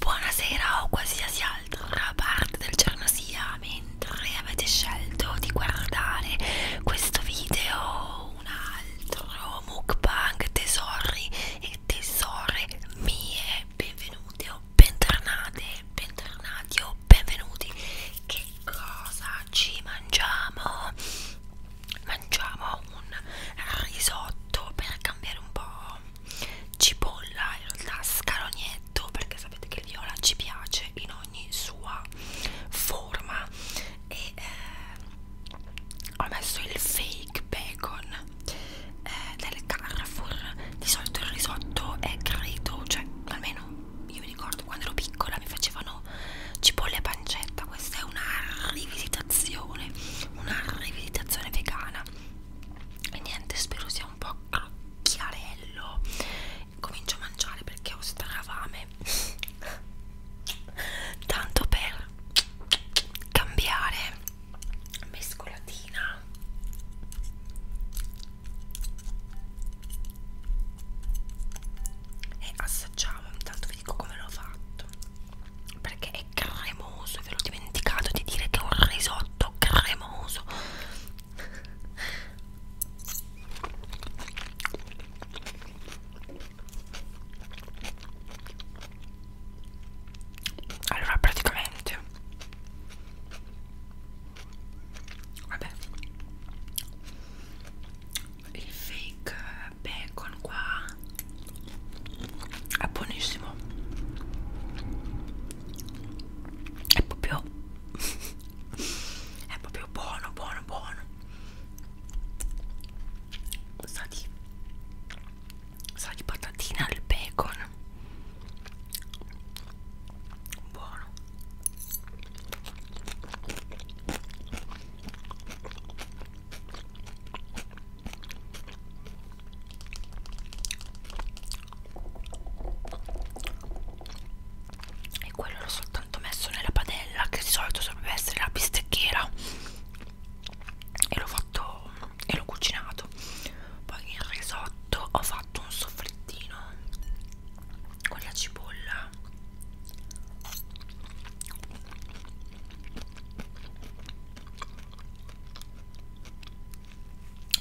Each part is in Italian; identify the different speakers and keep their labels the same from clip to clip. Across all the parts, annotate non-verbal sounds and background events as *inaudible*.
Speaker 1: Buonasera o qualsiasi altra parte del giorno sia, mentre avete scelto di guardare questo video o un altro mukbang tesori e tesore mie, benvenute o bentornate, bentornati o benvenuti. Che cosa ci mangiamo? mangiamo un risotto per cambiare un po' cipolla in realtà scalonietto perché sapete che il viola ci piace in ogni sua forma e eh, ho messo il fake bacon eh, del Carrefour di solito il risotto è credo cioè almeno io mi ricordo quando ero piccola mi facevano cipolle e pancetta questa è una rivisitazione una rivisitazione vegana e niente spero sia un po' crocchiarello comincio a mangiare perché ho stravame tanto per cambiare mescolatina e assaggiamo intanto vi dico come l'ho fatto perché è cremoso e ve l'ho dimenticato di dire che è un risotto cremoso allora praticamente vabbè il fake bacon qua è buonissimo è proprio *laughs* è proprio buono buono buono sa di sa di patatina al bacon buono e quello l'ho soltanto messo nella padella che di solito dovrebbe essere la bistecchiera e l'ho fatto e l'ho cucinato poi in risotto ho fatto un soffrittino con la cipolla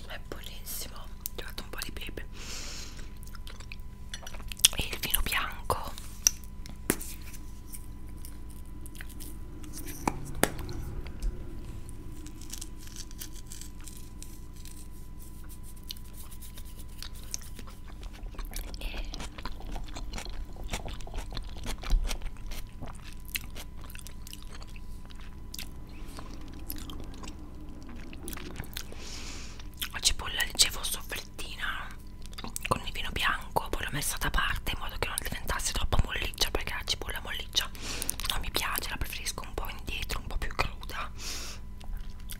Speaker 1: è buonissimo ho trovato un po' di pepe e il vino bianco e cipolla dicevo soffrittina con il vino bianco poi l'ho messa da parte in modo che non diventasse troppo molliccia perché la cipolla molliccia non mi piace la preferisco un po' indietro un po' più cruda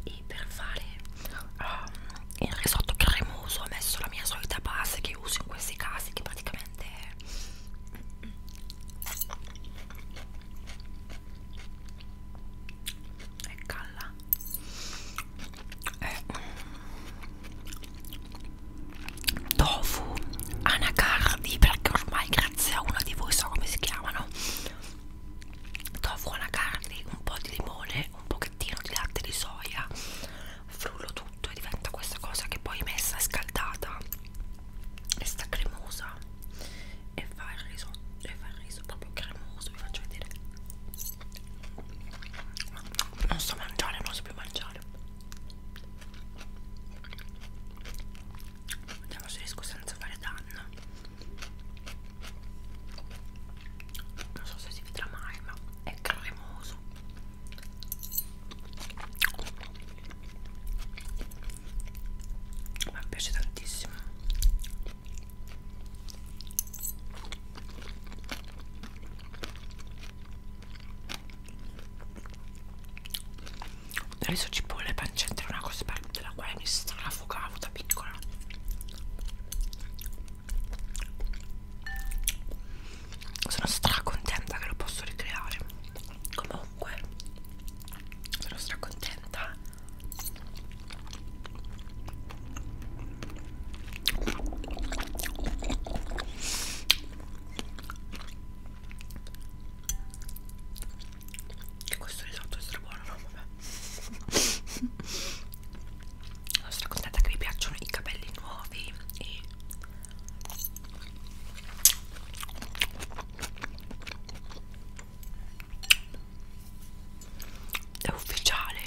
Speaker 1: e per fare um, il risotto cremoso ho messo la mia solita base che uso in questi casi che praticamente è è calla è... tofu anacardi perché ormai grazie a uno di voi so come si chiamano tofu anacardi un po' di limone un pochettino di latte di soia frullo tutto e diventa questa cosa che poi messa scaldata e sta cremosa e fa il riso e fa il riso proprio cremoso vi faccio vedere non so mangiare non so più mangiare vediamo se riesco senza fare danno non so se si vedrà mai ma è cremoso ma mi piace tantissimo riso cipolle e pancetta è una cosa per, della quale mi strafogavo da piccola sono stracontenta che lo posso ricreare comunque sono stracontenta che questo risotto è strabuono no vabbè *laughs* sono stracontenta che vi piacciono i capelli nuovi e è ufficiale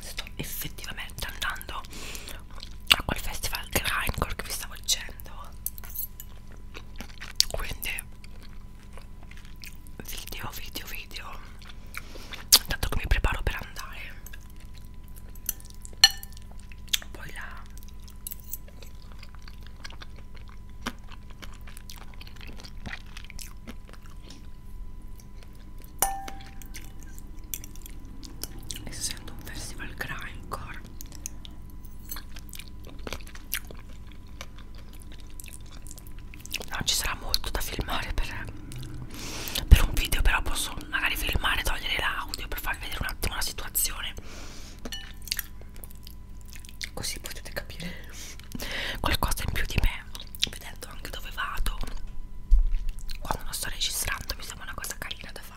Speaker 1: sto effettivamente andando a quel festival grindcore che vi stavo dicendo quindi video video video intanto che mi preparo per andare poi la essendo un festival grindcore No, ci sarà molto da filmare per, per un video, però posso magari filmare, togliere l'audio per farvi vedere un attimo la situazione. Così potete capire qualcosa in più di me, vedendo anche dove vado. Quando non sto registrando mi sembra una cosa carina da fare.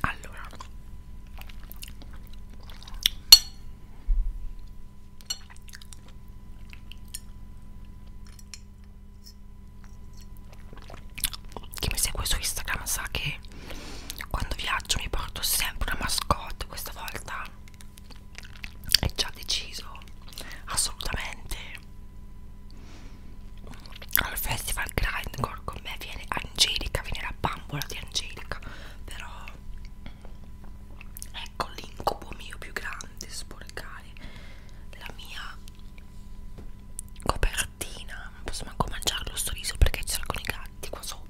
Speaker 1: allora chi mi segue su Instagram sa che quando viaggio mi porto sempre una mascotte questa volta è già deciso assolutamente al festival Grindcore con me viene Angelica, viene la bambola di Angelica, però ecco l'incubo mio più grande, sporcare la mia copertina, non posso manco mangiarlo sto riso perché ci sono i gatti qua sopra.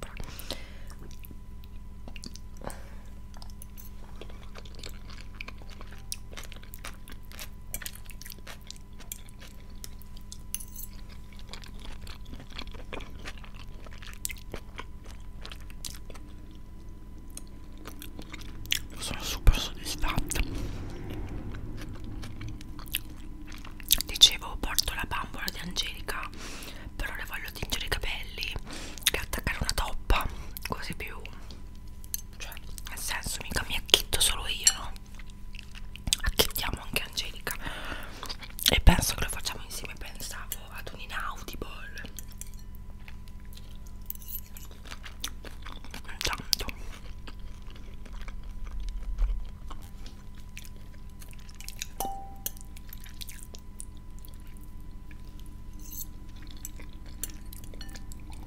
Speaker 1: Sono super soddisfatta. Dicevo, porto la bambola di Angelica, però le voglio tingere i capelli e attaccare una toppa, così più. Cioè, nel senso, mica mi acchitto solo io, no? no acchiettiamo anche Angelica e penso che lo facciamo insieme pensavo ad un inaudible intanto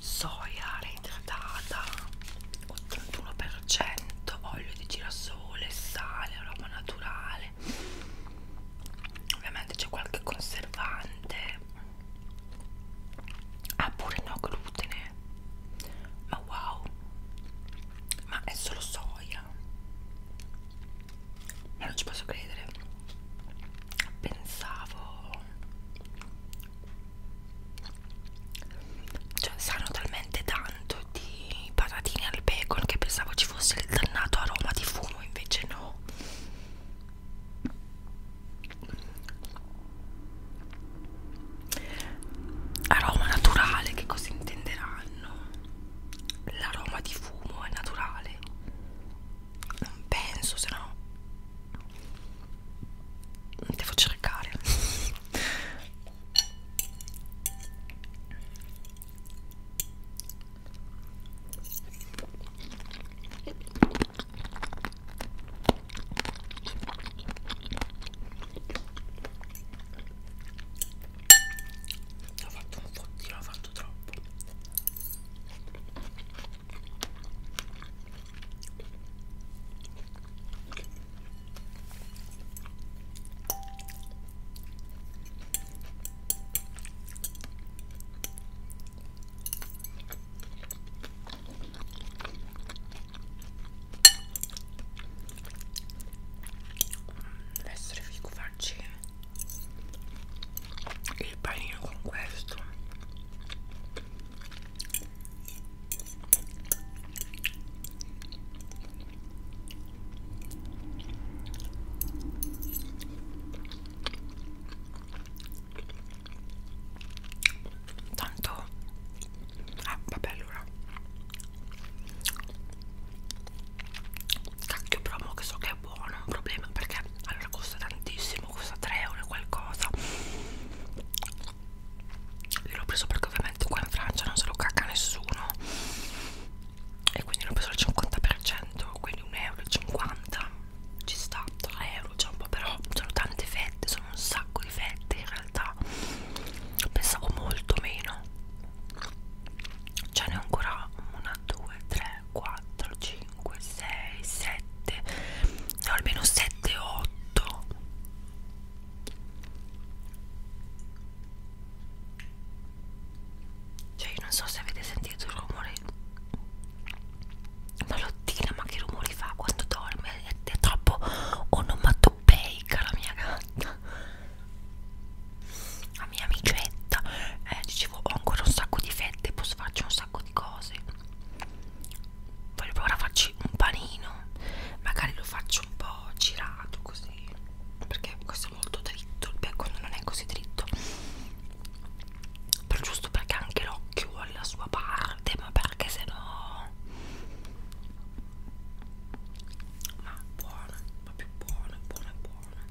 Speaker 1: soia reidratata 81% olio di girasole, sale, aroma naturale ovviamente c'è qualche conservante ah pure no glutine ma wow ma è solo soia ma non ci posso credere pensavo cioè sanno talmente tanto di patatine al bacon che pensavo ci fosse il dannato aroma di fumo invece no aroma naturale che cosa intenderanno l'aroma di fumo è naturale non penso se no devo cercare ho fatto un fottino, ho fatto troppo Adesso rifico farci il panino con questo Tanto Ah vabbè allora Cacchio promo che so che è buono Un problema perché allora costa tantissimo Costa 3 euro qualcosa io l'ho preso perché ovviamente qua in Francia non se lo cacca nessuno E quindi l'ho preso al 50% Quindi 1,50 euro Ci sta 3 euro c'è un po' però Sono tante fette, sono un sacco di fette in realtà Pensavo molto meno Ce n'è ancora 1, 2, 3, 4, 5 5, 6, 7, no, almeno 7, 8. Cioè, io non so se avete sentito il rumore. Malottina, ma che rumori fa quando dorme? È, è troppo onomatopeica la mia gatta. La mia amicetta. Eh, dicevo, ho ancora un sacco di fette, posso farci un sacco di cose voglio provare a farci un panino magari lo faccio un po' girato così perché questo è molto dritto il bacon non è così dritto però giusto perché anche l'occhio vuole la sua parte ma perché se no ma buona proprio buona buona buona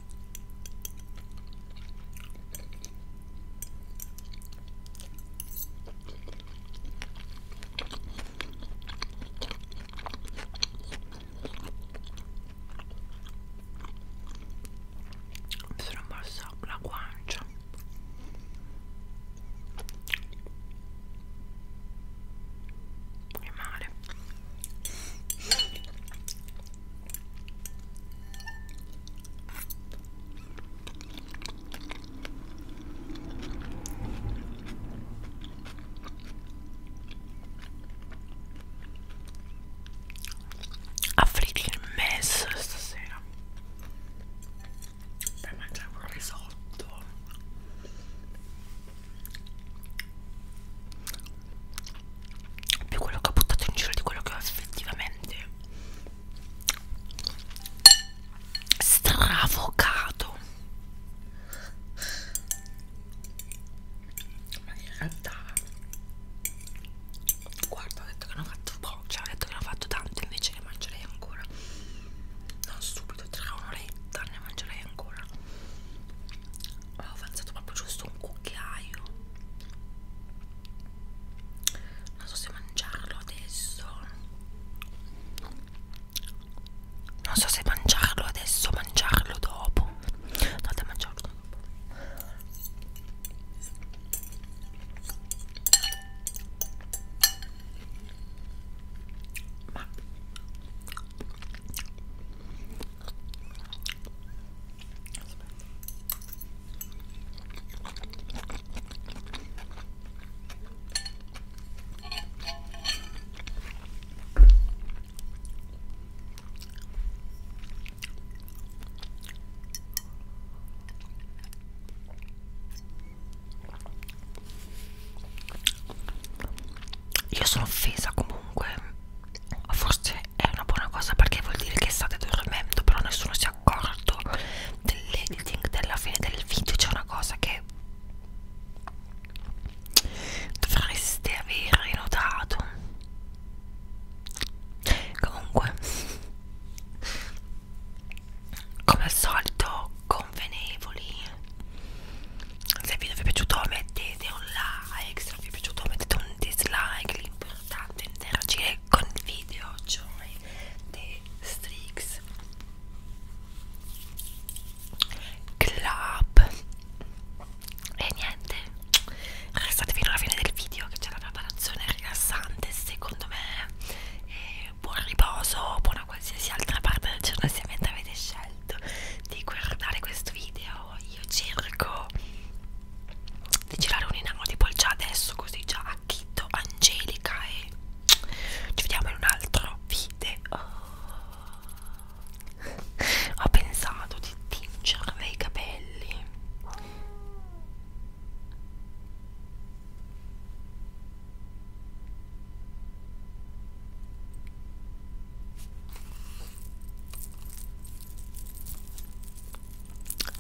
Speaker 1: mi sono mossa la guancia che male A freaking mess stasera per mangiare un risotto più quello che ho buttato in giro di quello che ho effettivamente stravocato ma in realtà guarda ho detto che ne ho fatto poco cioè ho detto che ne ho fatto tanto invece ne mangerei ancora non subito tra un'oretta ne mangerei ancora avevo avanzato proprio giusto un cucchiaio non so se mangiarlo adesso non so se mangiarlo adesso o mangiarlo dopo andate a mangiarlo dopo ma Aspetta. Io sono offesa comunque, forse è una buona cosa perché vuol dire che state dormendo però nessuno si è accorto dell'editing della fine del video c'è una cosa che dovreste aver notato comunque come al solito convenevoli se il video vi è piaciuto mettete un like dislike se vi è piaciuto mettete un dislike l'importante è interagire con il video cioè The Strix Club e niente restate fino alla fine del video che c'è la preparazione rilassante secondo me e buon riposo buona qualsiasi altra parte del giorno se avete scelto di guardare questo video però io cerco di girare un inano tipo già adesso così già a Chitto, Angelica e ci vediamo in un altro video *laughs* ho pensato di tingermi i capelli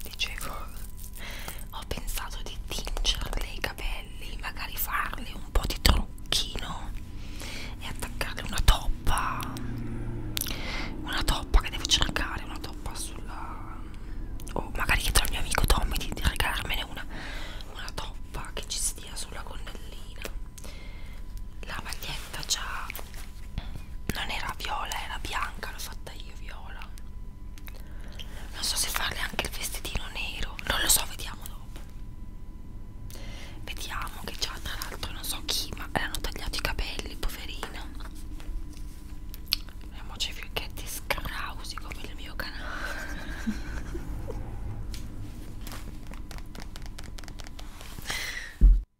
Speaker 1: dicevo ho pensato di tingerle i capelli magari farle un po' di trucchino e attaccarle una toppa una toppa che devo cercare una toppa sulla o magari chiedo al mio amico Tommy di regalarmene una una toppa che ci stia sulla gonnellina la maglietta già non era viola era bianca l'ho fatta io viola non so se farle anche il vestitino nero non lo so vediamo dopo vediamo che già tra l'altro non so chi ma erano tagliati i capelli poverina vediamoci fiocchetti scrausi come il mio canale